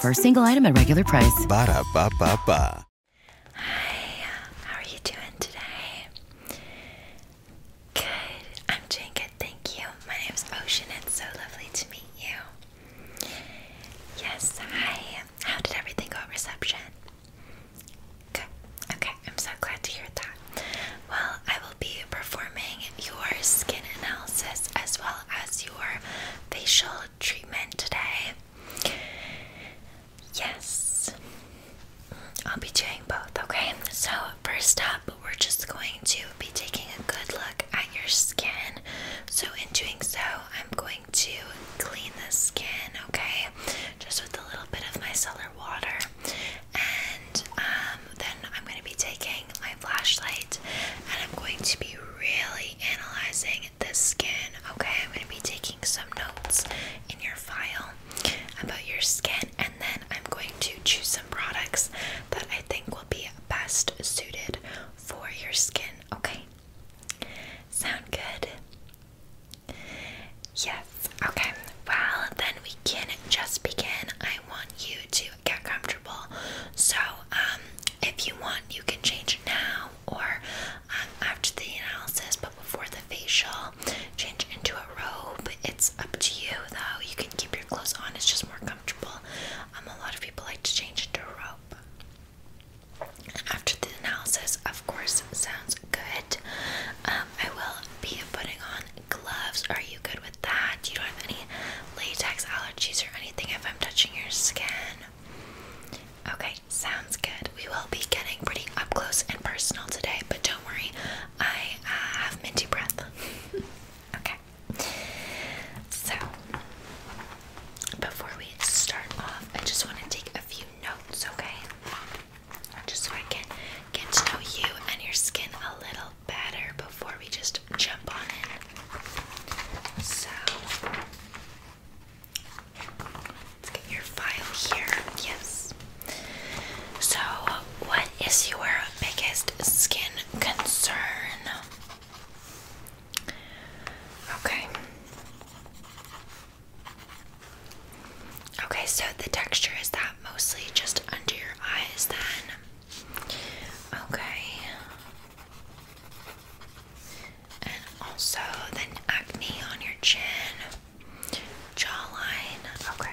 For a single item at regular price. Hi, how are you doing today? Good, I'm doing good, thank you. My name's Ocean, it's so lovely to meet you. Yes, hi. How did everything go at reception? Good, okay, I'm so glad to hear that. Well, I will be performing your skin analysis as well as your facial treatment today. Yes, I'll be doing both, okay? So, first up, we're just going to be taking a good look at your skin. So, in doing so, I'm going to clean the skin, okay? Just with a little bit of micellar water. And um, then I'm going to be taking my flashlight and I'm going to be really analyzing the skin. Okay, I'm going to be taking some notes in your file about your skin, and then I'm going to choose some products that I think will be best suited for your skin. Okay, sound good? Yes, okay. Well, then we can just begin. I want you to get comfortable. So, um, if you want, you can change now or um, after the analysis, but before the facial, change into a robe. It's up to you though. You can keep your clothes on, it's just more comfortable. Um, a lot of people like to change into a robe. After the analysis, of course, sounds good. I will be putting on gloves. Are you good with that? You don't have any latex allergies or anything if I'm touching your skin? Okay, sounds good. We will be getting pretty up close and personal today, but don't worry, I uh, have minty breath. okay. So, before we start I just want to take a few notes, okay? Just so I can get to know you and your skin a little better before we just jump on it. So let's get your file here. Yes. So, what is your biggest skin concern? Okay. Okay, so the texture is that mostly just under your eyes then. Okay. And also the acne on your chin, jawline. Okay.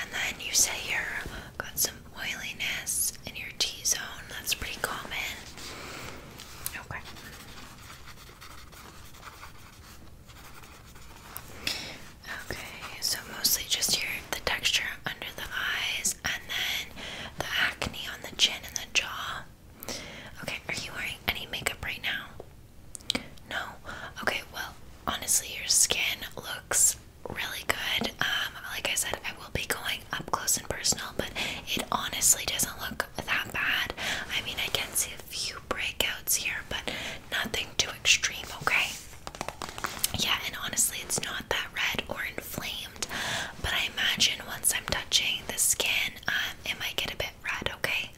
And then you say you have got some oiliness in your T zone. That's pretty common. Okay. Okay, so mostly just your the texture under the eyes and then the acne on the chin and the jaw. Okay, are you wearing any makeup right now? No. Okay, well, honestly, your skin looks really good. Um, like I said, I will be going up close and personal, but it honestly doesn't look that bad. I mean, I can see a few breakouts here, but nothing too extreme, okay? Yeah, and honestly, it's not that red or inflamed, but I imagine once I'm touching the skin, um, it might get a bit red, okay?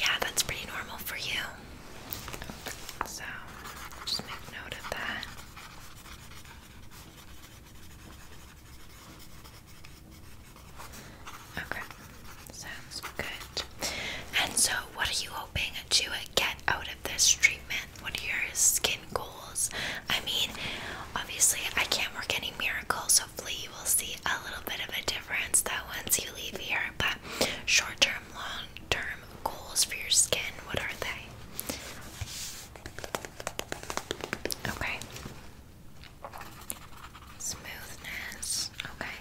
Yeah, that's pretty normal for you. So, just make note of that. Okay, sounds good. And so, what are you hoping to get out of this treatment? What are your skin goals? I mean, obviously, I can't work any miracles. Hopefully, you will see a little bit of a difference that once you leave here. But short term, long term goals for your skin, what are they? Okay. Smoothness. Okay.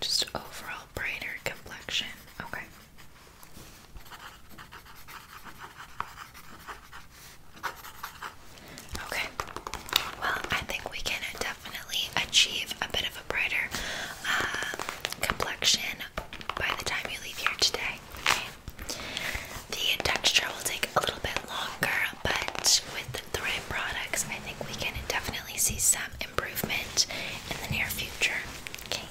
Just overall brighter complexion. Okay. Okay. Well, I think we can definitely achieve a bit of a brighter um, complexion by the time you leave here today. The texture will take a little bit longer, but with the Thrive products, I think we can definitely see some improvement in the near future. Okay,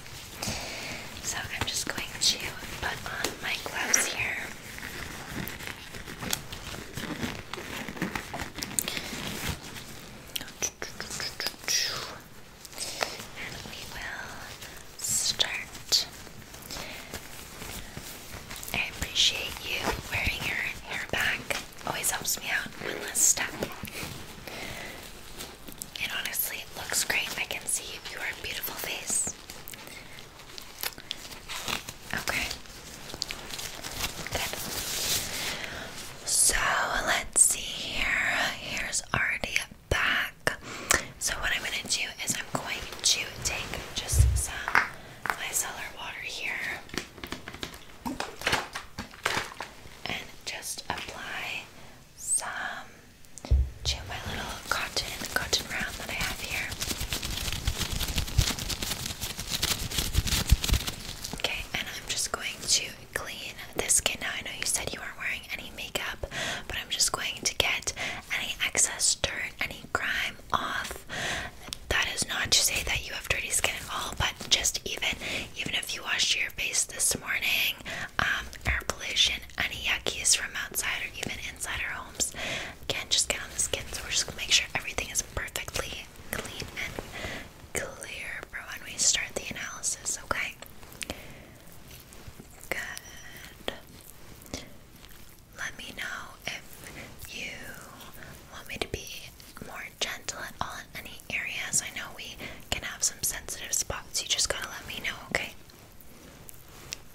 so I'm just going to put on my gloves here. And we will start. I appreciate you wearing your hair back. Always helps me out. One less step. It honestly, looks great. I can see your beautiful face. Okay. Good. So let's see here. Here's already back. So what I'm going to do is I'm going to take just some micellar water here and just apply some to my little cotton cotton round that I have here. Okay, and I'm just going to clean this skin now. I know you said you aren't wearing any makeup, but I'm just going to get any excess dirt, any grime off. That is not to say that you have dirty skin at all, but just even even if you washed your face this morning, um, air pollution, any yuckies from outside or even inside our homes can just get on the skin. So we're just gonna make sure everything is perfectly clean and clear for when we start the analysis, okay? Good. Let me know if you want me to be more gentle at all in any areas. I know we can have some sensitive spots. You just gotta let me know, okay?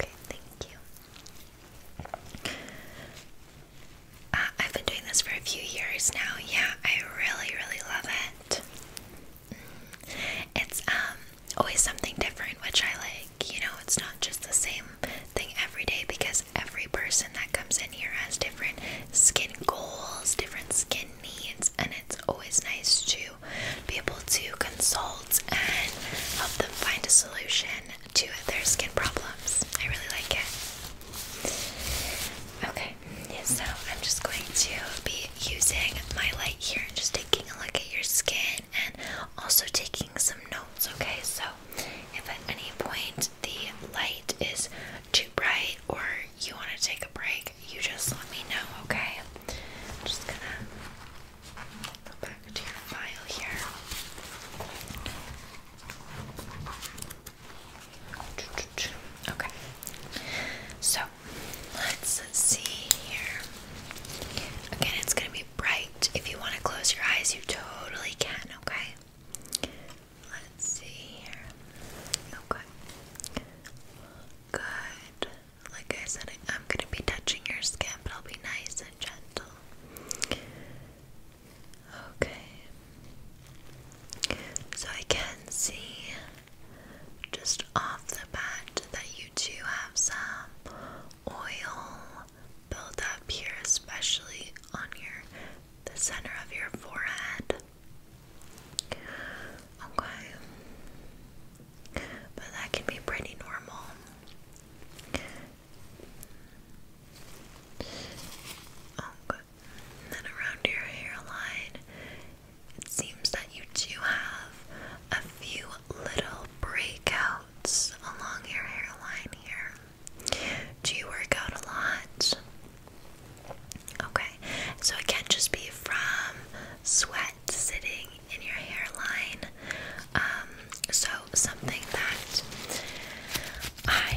Okay, thank you. Uh, I've been doing this for a few years now. Yeah, I really, really love it. Mm. It's um always something different, which I like. You know, it's not just the same thing every day because every person that comes in here has different skin goals, different skin needs, and it's always nice to be able to consult and help them find a solution to their skin problems. I really like it. Okay, so I'm just going to be using my light here and just taking a look at your skin and also taking some notes, okay? So if at any point the light is too bright or you want to take a break, you just let me know, okay? I'm just gonna go back to your file here. Okay. So let's see here. Again, it's gonna be bright. If you want to close your eyes, you totally can, okay? Let's see here. Okay. Good. Like I said, I'm going to be touching your skin, but I'll be nice and gentle. Okay. So I can see just off the bat that you do have some oil build up here, especially on your the center of your forehead. Okay. But that can be pretty normal. Okay. And then around your hairline, it seems that you do have a few little breakouts along your hairline here. Do you work out a lot? Okay, so it can not just be from sweat sitting in your hairline. Um, so something that I,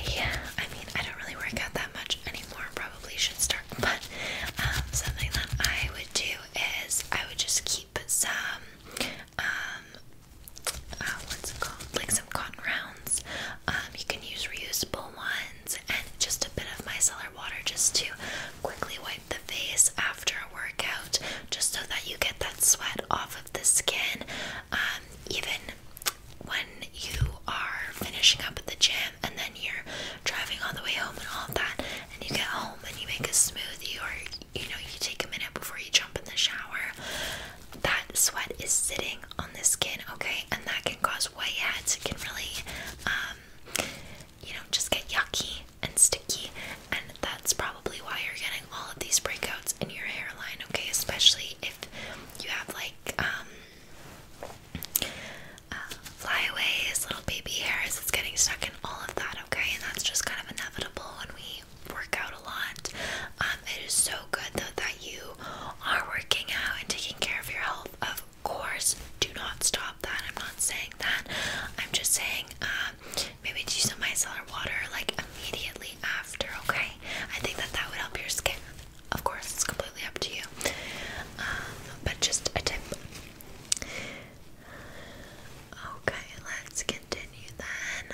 I mean, I don't really work out that much anymore. Probably should start, but um, something that I would do is I would just keep some, um, uh, what's it called? Like some cotton rounds. Um, you can use reusable ones and just a bit of micellar water just to quickly wipe the face after a workout, just so that you get that sweat off of the skin. Um, even when you are finishing up at the gym and then you're driving all the way home and all of that, and you get home and you make a smoothie or you know you take a minute before you jump in the shower, that sweat is sitting on the skin, okay? And that can cause whiteheads. It can really, um, you know, just get yucky and sticky. And that's probably why you're getting all of these breakouts in your hairline, okay? Especially if you have like, um, uh, flyaways, little baby hairs, it's getting stuck in all of that, okay? And that's just kind of inevitable when we work out a lot. Um, it is so good though that you are working out and taking care of your health. Of course, do not stop that. I'm not saying that. I'm just saying um, maybe do some micellar water like immediately after. Okay, I think that that would help your skin. Of course, it's completely up to you. Um, but just a tip. Okay, let's continue then.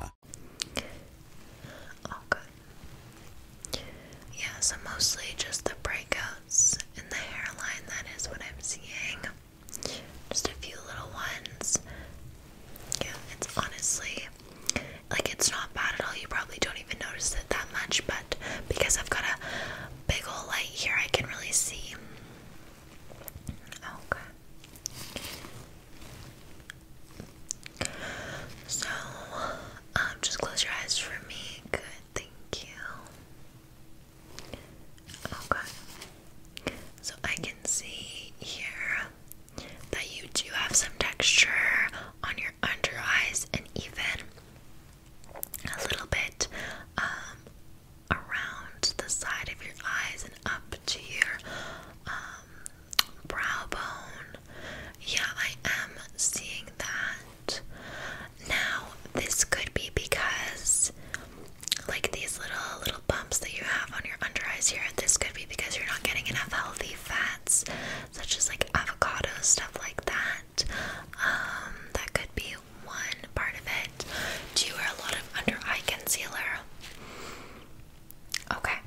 America. Oh, yeah, so mostly just the breakouts in the hairline, that is what I'm seeing. Just a few little ones. Yeah, it's honestly like it's not bad at all. You probably don't even notice it that much, but because I've got a big old light here, I can really see. Okay. So, um, just close your eyes for me. Good, thank you. Okay. So I can see here that you do have some texture on your under eyes and even a little bit um, around the side of your eyes and up to your um, brow bone. Yeah, I am seeing that. Now, this could be because like these little little bumps that you have on your under eyes here, this could be because you're not getting enough healthy fats, such as like avocados, stuff like that. Um, that could be one part of it. Do you wear a lot of under eye concealer? Okay,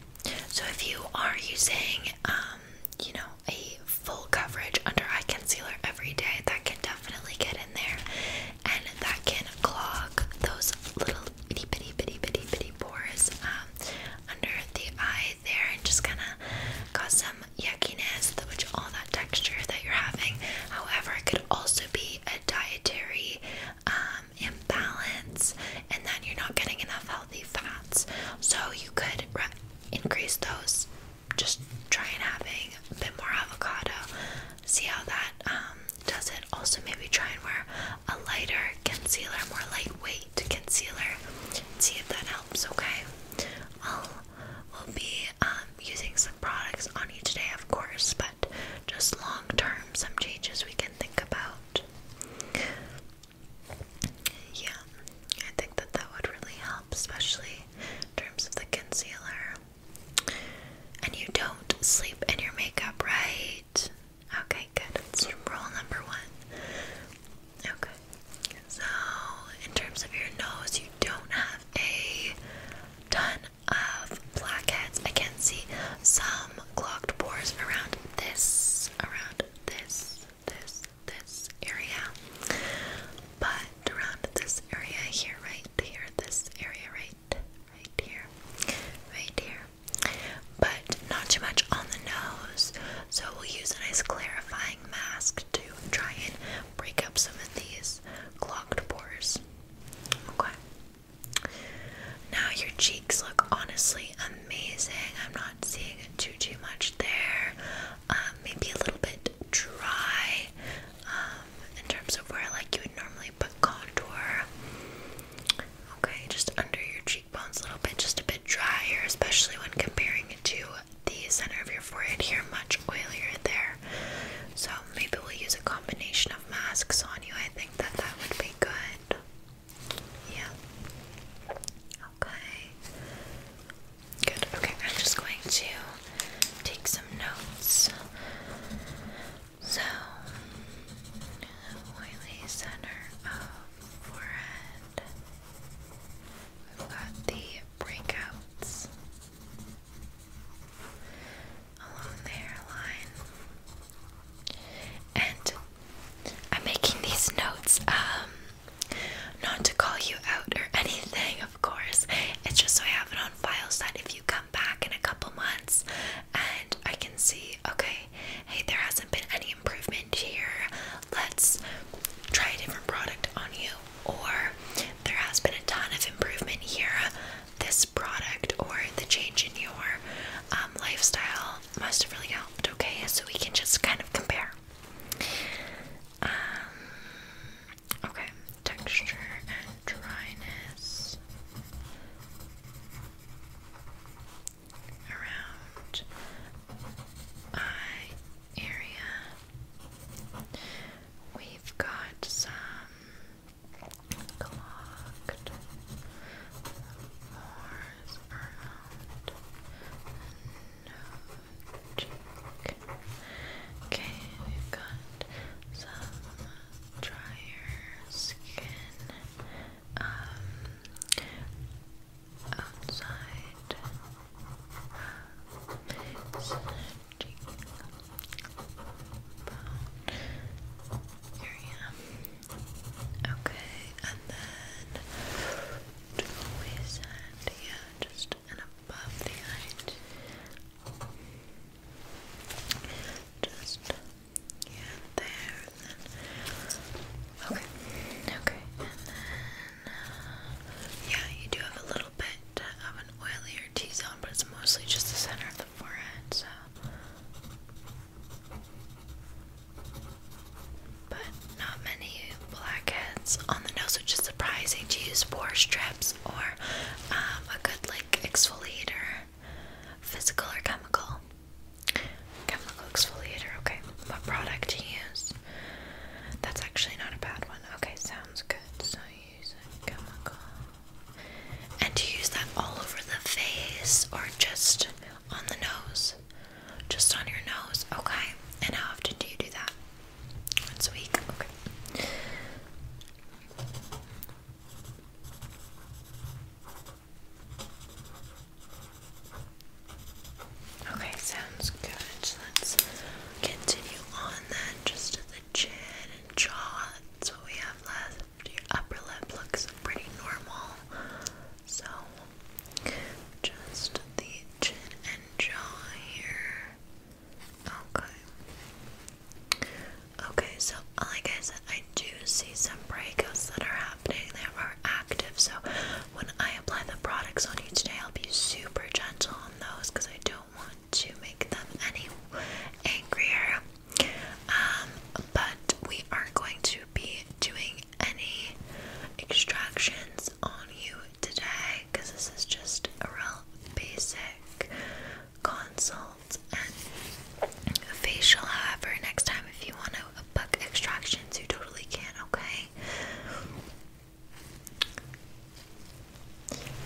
so if you are using, um, you know, a full coverage under eye concealer every day, that can definitely get in there and that can clog those little itty bitty bitty bitty bitty pores um, under the eye there and just kind of cause some yuckiness, which all that texture that you're having. However, it could also be a dietary imbalance, um, and then you're not getting enough healthy fats. So you could increase those. Just try and having a bit more avocado. See how that um, does it. Also, maybe try and wear a lighter concealer, more lightweight concealer. See if that helps. Okay. I'll will be um, using some products on each day, of course, but just long term, some changes we can think about. Yeah, I think that that would really help, especially in terms of the concealer. And you don't sleep in your makeup, right? Okay, good. That's number one. Okay, so in terms of your nose, you don't have a ton of blackheads. I can see some clogged pores around this, around this, this, this area. But around this area here, right here, this area right, right here, right here. But not too much on the nose. So we'll use a nice clarifying mask to try and break up some of these clogged pores. Okay. Now your cheeks look honestly amazing. I'm not seeing too too much there. Um, maybe a little bit dry um, in terms of where like you would normally put contour. Okay, just under your cheekbones a little bit, just a bit drier, especially when comparing it to the center of your forehead here, much oilier there. So maybe we'll use a combination of masks on you. I think that that would be good. Yeah. Okay. Good. Okay, I'm just going to take some notes. So, oily center of forehead. We've got the breakouts along the hairline. And I'm making these notes, um, not to call you out or anything, of course. It's just so I have it on file so that if you come back in a couple months and I can see, okay, hey, there hasn't been any improvement here, let's try a different product on you, or there has been a ton of improvement here, this product or the change in your um, lifestyle must have really helped, okay? So we can just kind of compare. Um, okay, texture and dryness around eye area. We've got some clogged. Pores around the cheek. we've some drier skin um, outside uh, snatching about area. Okay, and then to the sand here, just and above the eye. Just yeah, there and then Okay, okay, and then yeah, you do have a little bit of an oilier T zone, but it's mostly just the center of the forehead, so but not many blackheads on the nose, which is surprising to use pore strips or um, a good like exfoliator, physical or chemical. Chemical exfoliator, okay. What product to use? That's actually not a bad one. Okay, sounds good. So use a chemical and to use that all over the face or just on the nose? Just on your nose, okay. And how often do you do that? Once a week, okay. Okay, sounds good. Let's continue on then, just to the chin and jaw that's what we have left. Your upper lip looks pretty normal. So, just the chin and jaw here. Okay. Okay, so like I said, I do see some breakouts that are happening. They are active. So, when I apply the products on you today, I'll be super gentle on those because I don't want to make them any angrier. Um, but we aren't going to be doing any extractions on you today because this is just a real basic consult and facial. However, next time if you want to book extractions, you totally can, okay?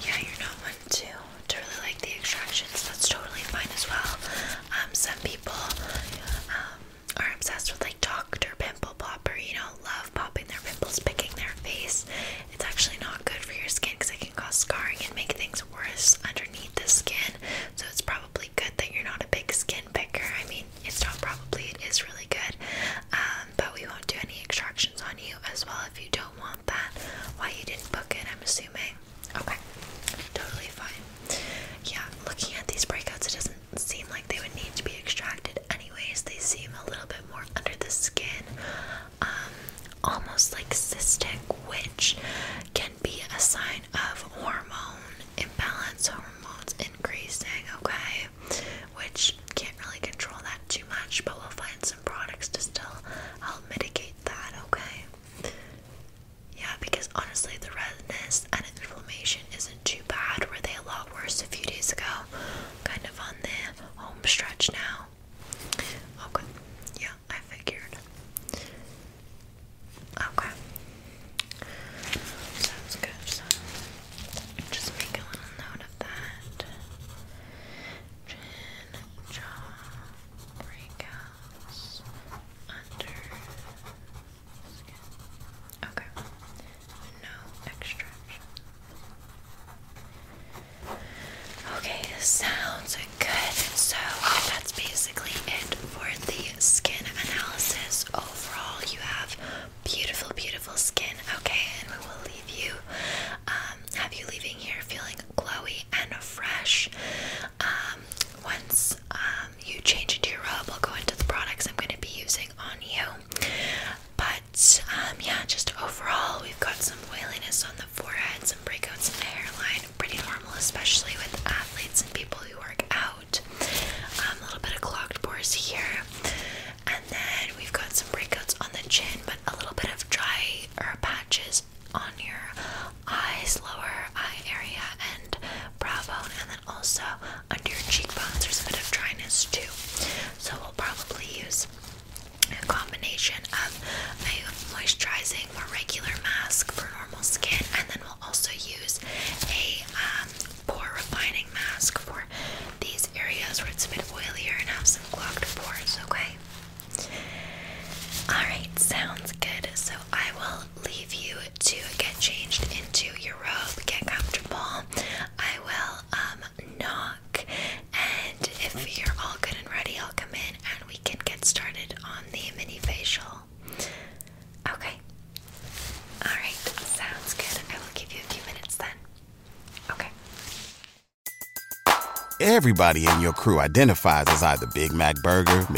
Yeah, you're not one to, to really like the extractions. That's totally fine as well. Um, some people um, are obsessed with like Dr. Pimple Popper, you know, love popping their pimples, picking their face. It's actually not good for your skin because it can cause scarring and make things worse underneath the skin. So it's probably good that you're not a big skin picker. I mean, it's probably, it is really good. Um, but we won't do any extractions on you as well if you don't want that. Why you didn't book it, I'm assuming. Okay, totally fine. Yeah, looking at these breakouts, it doesn't seem like they would need to be extracted anyways. They seem a little bit more under the skin, um, almost like cystic, which can be a sign of hormone imbalance, hormones increasing, okay? Which can't really control that too much, but we'll find some products to still help mitigate that, okay? Yeah, because honestly, the redness and inflammation isn't too bad. Were they a lot worse a few days ago? Kind of on the home stretch now. Okay, yeah, I figured. Okay, sounds good. just make a little note of that. Chin, jaw, breakouts under skin. Okay. No extraction. Okay, sounds good. So that's basically it for the skin analysis. Overall, you have beautiful, beautiful skin. Okay, and we will leave you, um, have you leaving here feeling glowy and fresh. Um, once um, you change into your robe, I'll go into the products I'm going to be using on you. But um, yeah, just overall, we've got some oiliness on the forehead, some breakouts in the hairline. Pretty normal, especially with athletes and people who work out. a little bit of clogged pores here. And then we've got some breakouts on the chin, but a little bit of dry or patches on your eyes, lower eye area, and brow bone, and then also under your cheekbones. There's a bit of dryness too, so we'll probably use a combination of a moisturizing, more regular mask for normal skin, and then we'll also use a um, pore refining mask for these areas where it's a bit oilier and have some clogged pores. Okay. Alright, sounds good. So I will leave you to get changed into your robe, get comfortable. I will um, knock, and if you're all good and ready, I'll come in and we can get started on the mini facial. Okay. Alright, sounds good. I will give you a few minutes then. Okay. Everybody in your crew identifies as either Big Mac Burger,